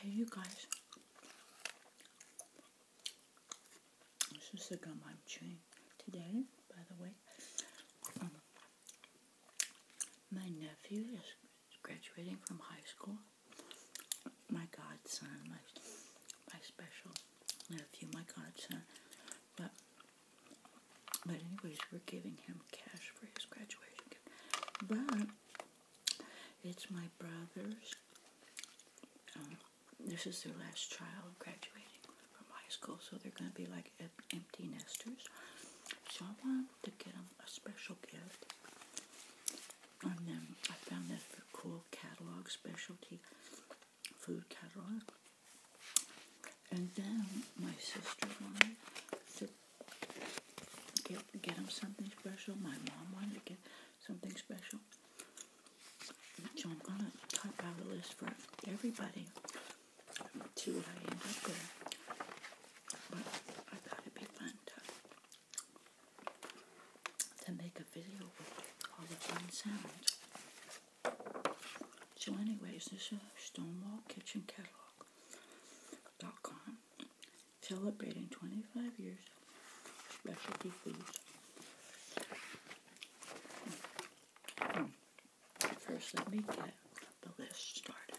Hey, you guys. This is the gum I'm chewing today, by the way. Um, my nephew is graduating from high school. My godson, my, my special nephew, my godson. But but anyways, we're giving him cash for his graduation But it's my brother's. Um, this is their last child graduating from high school, so they're going to be like empty nesters. So I wanted to get them a special gift. And then I found this cool catalog, specialty food catalog. And then my sister wanted to get, get him something special. My mom wanted to get something special. So I'm going to type out a list for everybody see what I end up with. But I thought it'd be fun to, to make a video with all of fun sounds. So anyways, this is a Stonewall Kitchen Catalog celebrating 25 years specialty foods. Hmm. First, let me get the list started.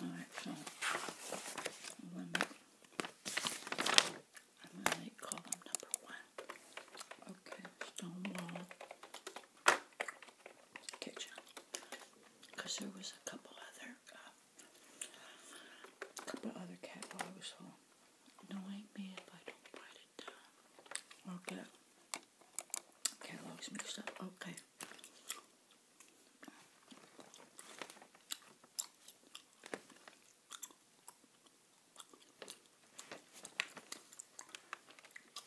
Alright, so let I'm going to call them number one. Okay, Stonewall kitchen because there was a couple other uh, couple other cat boys who annoying me if I don't write it down or catalogs mixed up. Okay.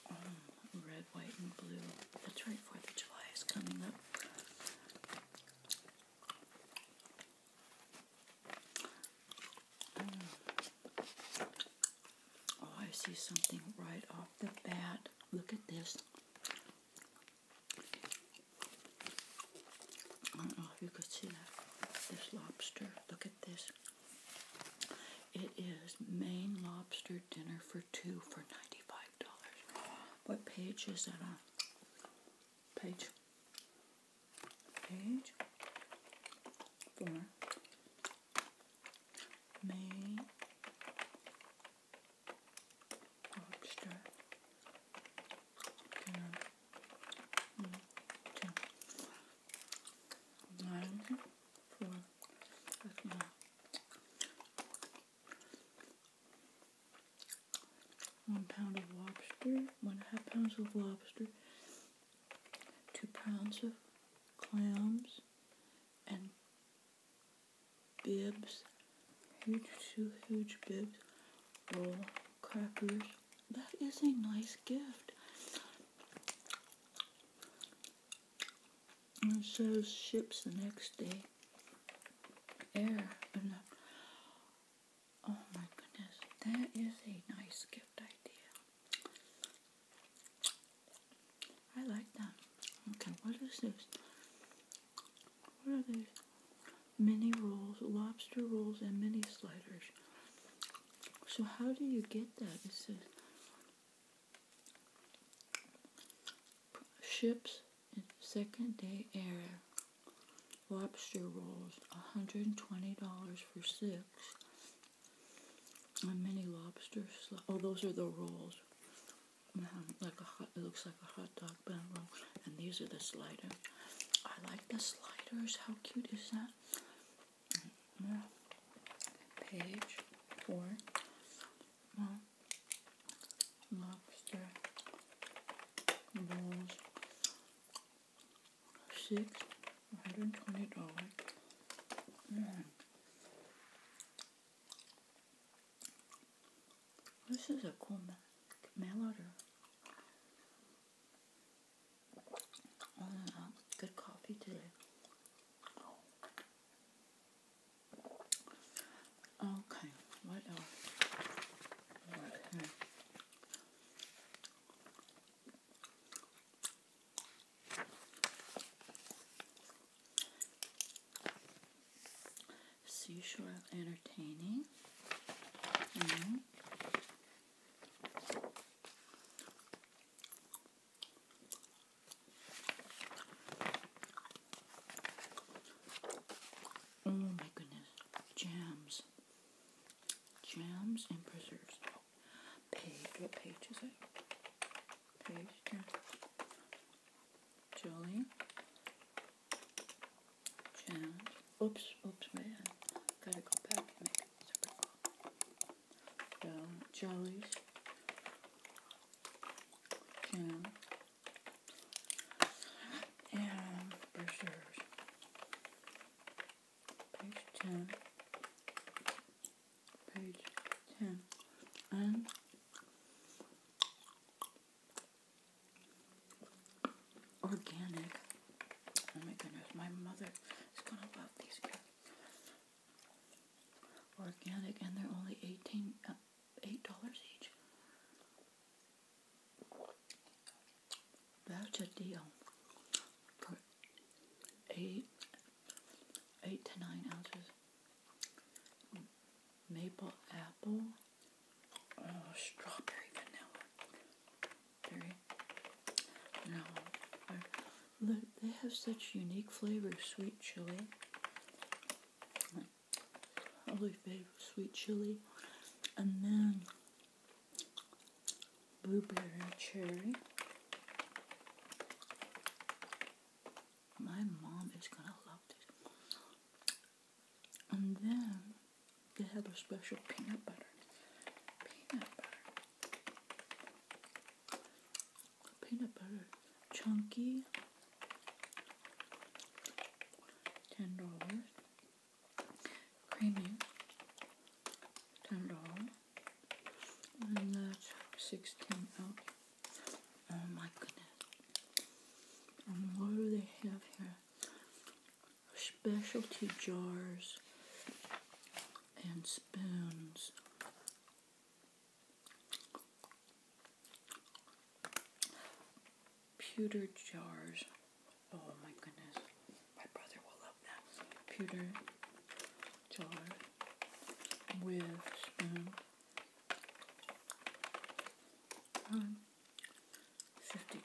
Oh, red, white, and blue. That's right, 4th of July is coming up. Mm. oh, I see something right off the bat. Look at this. I don't know if you could see that. This lobster. Look at this. It is Maine Lobster Dinner for Two for $95. What page is that on? Page. Page. Four. Maine Lobster Dinner. Two. One pound of lobster, one and a half pounds of lobster, two pounds of clams, and bibs, huge, huge bibs, Little crackers. That is a nice gift and sails ships the next day. Air oh my goodness, that is a nice gift idea. I like that. Okay, what are those? What are these? Mini rolls, lobster rolls, and mini sliders. So how do you get that? It says Ships in second day air. Lobster rolls, $120 for six. And mini lobster Oh, those are the rolls. Mm-hmm, like a hot, it looks like a hot dog bun roll. And these are the sliders. I like the sliders. How cute is that? Mm-hmm. Page four. lobster rolls. Six hundred and twenty dollars. This is a cool oh, good coffee today. Okay, what else? Seashore entertaining. Mm-hmm. Oh my goodness. Jams. Jams and preserves. page. What page is it? Page. Yeah. Jelly. Jams. Oops, oops, man. Gotta go back and make it separate the jellies and preserves. Page 10. Page 10. And organic. Oh my goodness, my mother is gonna love these organic, and they're only eighteen uh, eight dollars each. That's a deal eight eight to nine ounces maple apple oh, strawberry vanilla berry. No, I, they have such unique flavors, sweet chili, olive favorite sweet chili, and then blueberry cherry. My mom is gonna love this. And then they have a special peanut butter. Peanut butter peanut butter chunky ten dollars creamy ten dollars and that's sixteen out oh my goodness and what do they have here specialty jars and spoons Pewter jars. Oh my goodness. My brother will love that. Pewter jar with spoon. Um, $50.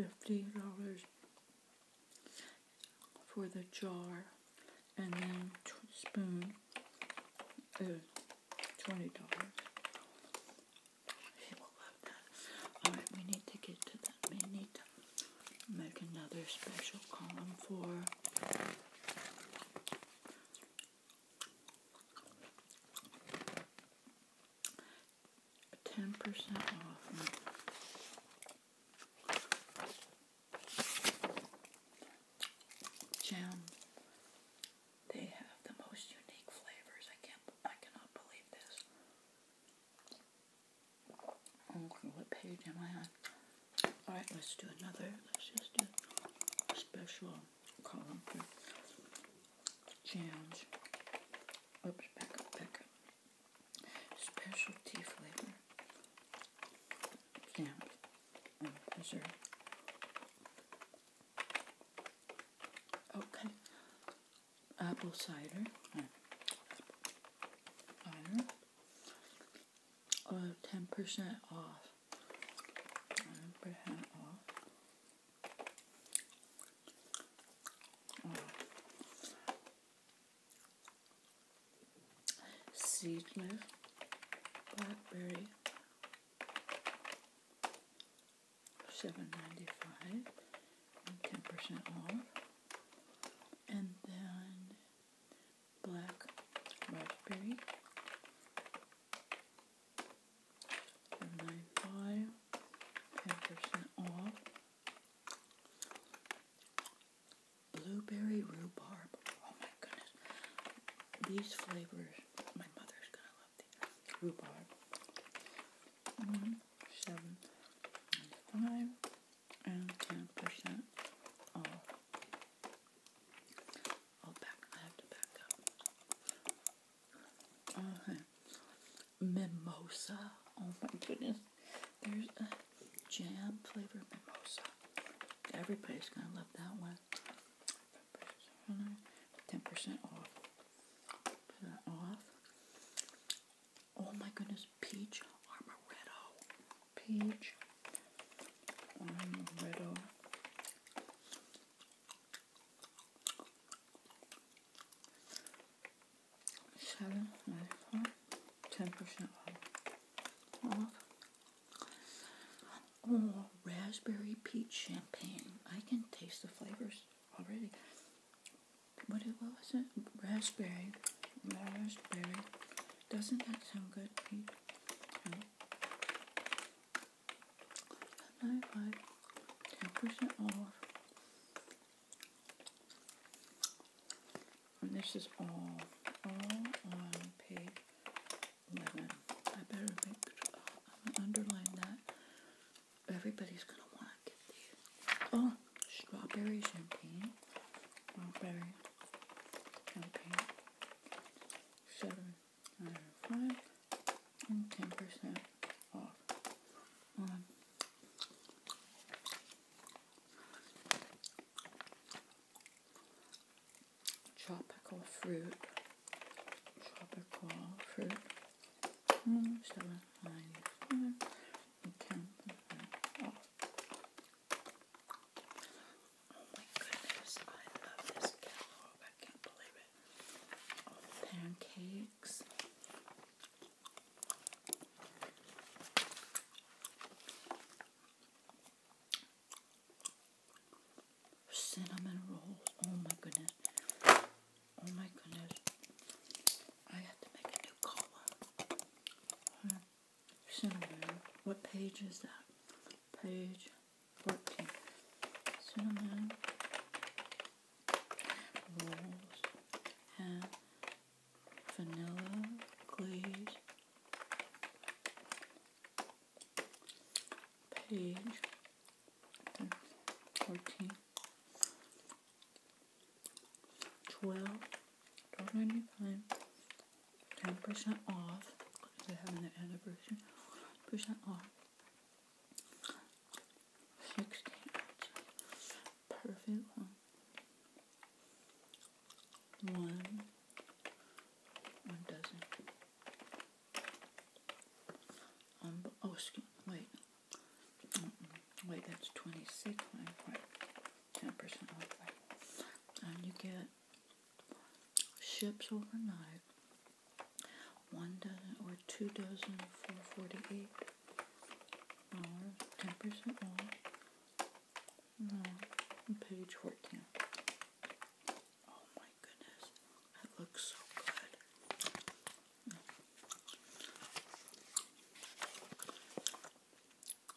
$50 for the jar and then spoon uh, twenty dollars. Alright, we need to get to that. We need to make another special column for ten percent off. Jam. They have the most unique flavors. I can't. I cannot believe this. Oh, what page am I on? All right, let's do another. Let's just do a special column for jams. Oops, back up, back up specialty flavor oh, camp Okay, apple cider. Honor. 10% uh, off. 10% off. Oh. Seed mist, blackberry, seven ninety five, ten percent off, and then black raspberry, seven ninety five, ten percent off, blueberry rhubarb. Oh my goodness. These flavors, my mother's gonna love these. Rhubarb. Mm-hmm. seven, and five, and ten percent off. I'll oh, back, I have to back up. Uh, mimosa. Oh my goodness. There's a jam flavor mimosa. Everybody's gonna love that one. 10% off. Put that off. Oh my goodness, peach armoretto. Peach armoretto seven, nine, four, ten percent off. Oh, raspberry peach champagne. I can taste the flavors already. What, was it? Raspberry. Raspberry. Doesn't that sound good, Nine, five, ten percent off. And this is all, all on page 11. I better make, oh, I'm going to underline that. Everybody's going to want to get these. Oh, strawberry champagne. Strawberry champagne. 7 5 and 10% off Tropical fruit. Tropical fruit. Hmm, hmm, oh my goodness, I love this cantaloupe. I can't believe it. pancakes. Cinnamon rolls. Oh my goodness. Oh my goodness. I have to make a new cola. Cinnamon. What page is that? Page 14. Cinnamon rolls and vanilla glaze page fourteen twelve twelve ninety five ten percent off because they having the anniversary percent off sixteen perfect one. One, dozen. Um, oh, excuse, wait. wait, that's 26 right? 10% off, right? And um, you get ships overnight. One dozen or two dozen for 48 10% off. Mm, page 14. Oh my goodness, that looks so good.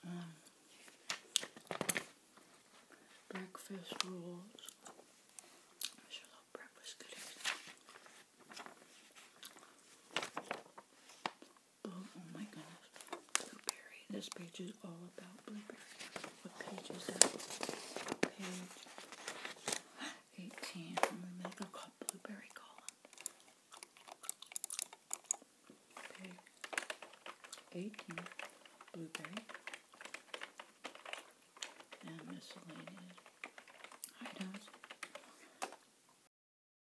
Mm. breakfast rules. sure love breakfast blue. Oh, oh my goodness. Blueberry. This page is all about blueberry. What page is that? Page 18. I'm going to make a blueberry column. Page 18. Blueberry. And miscellaneous items.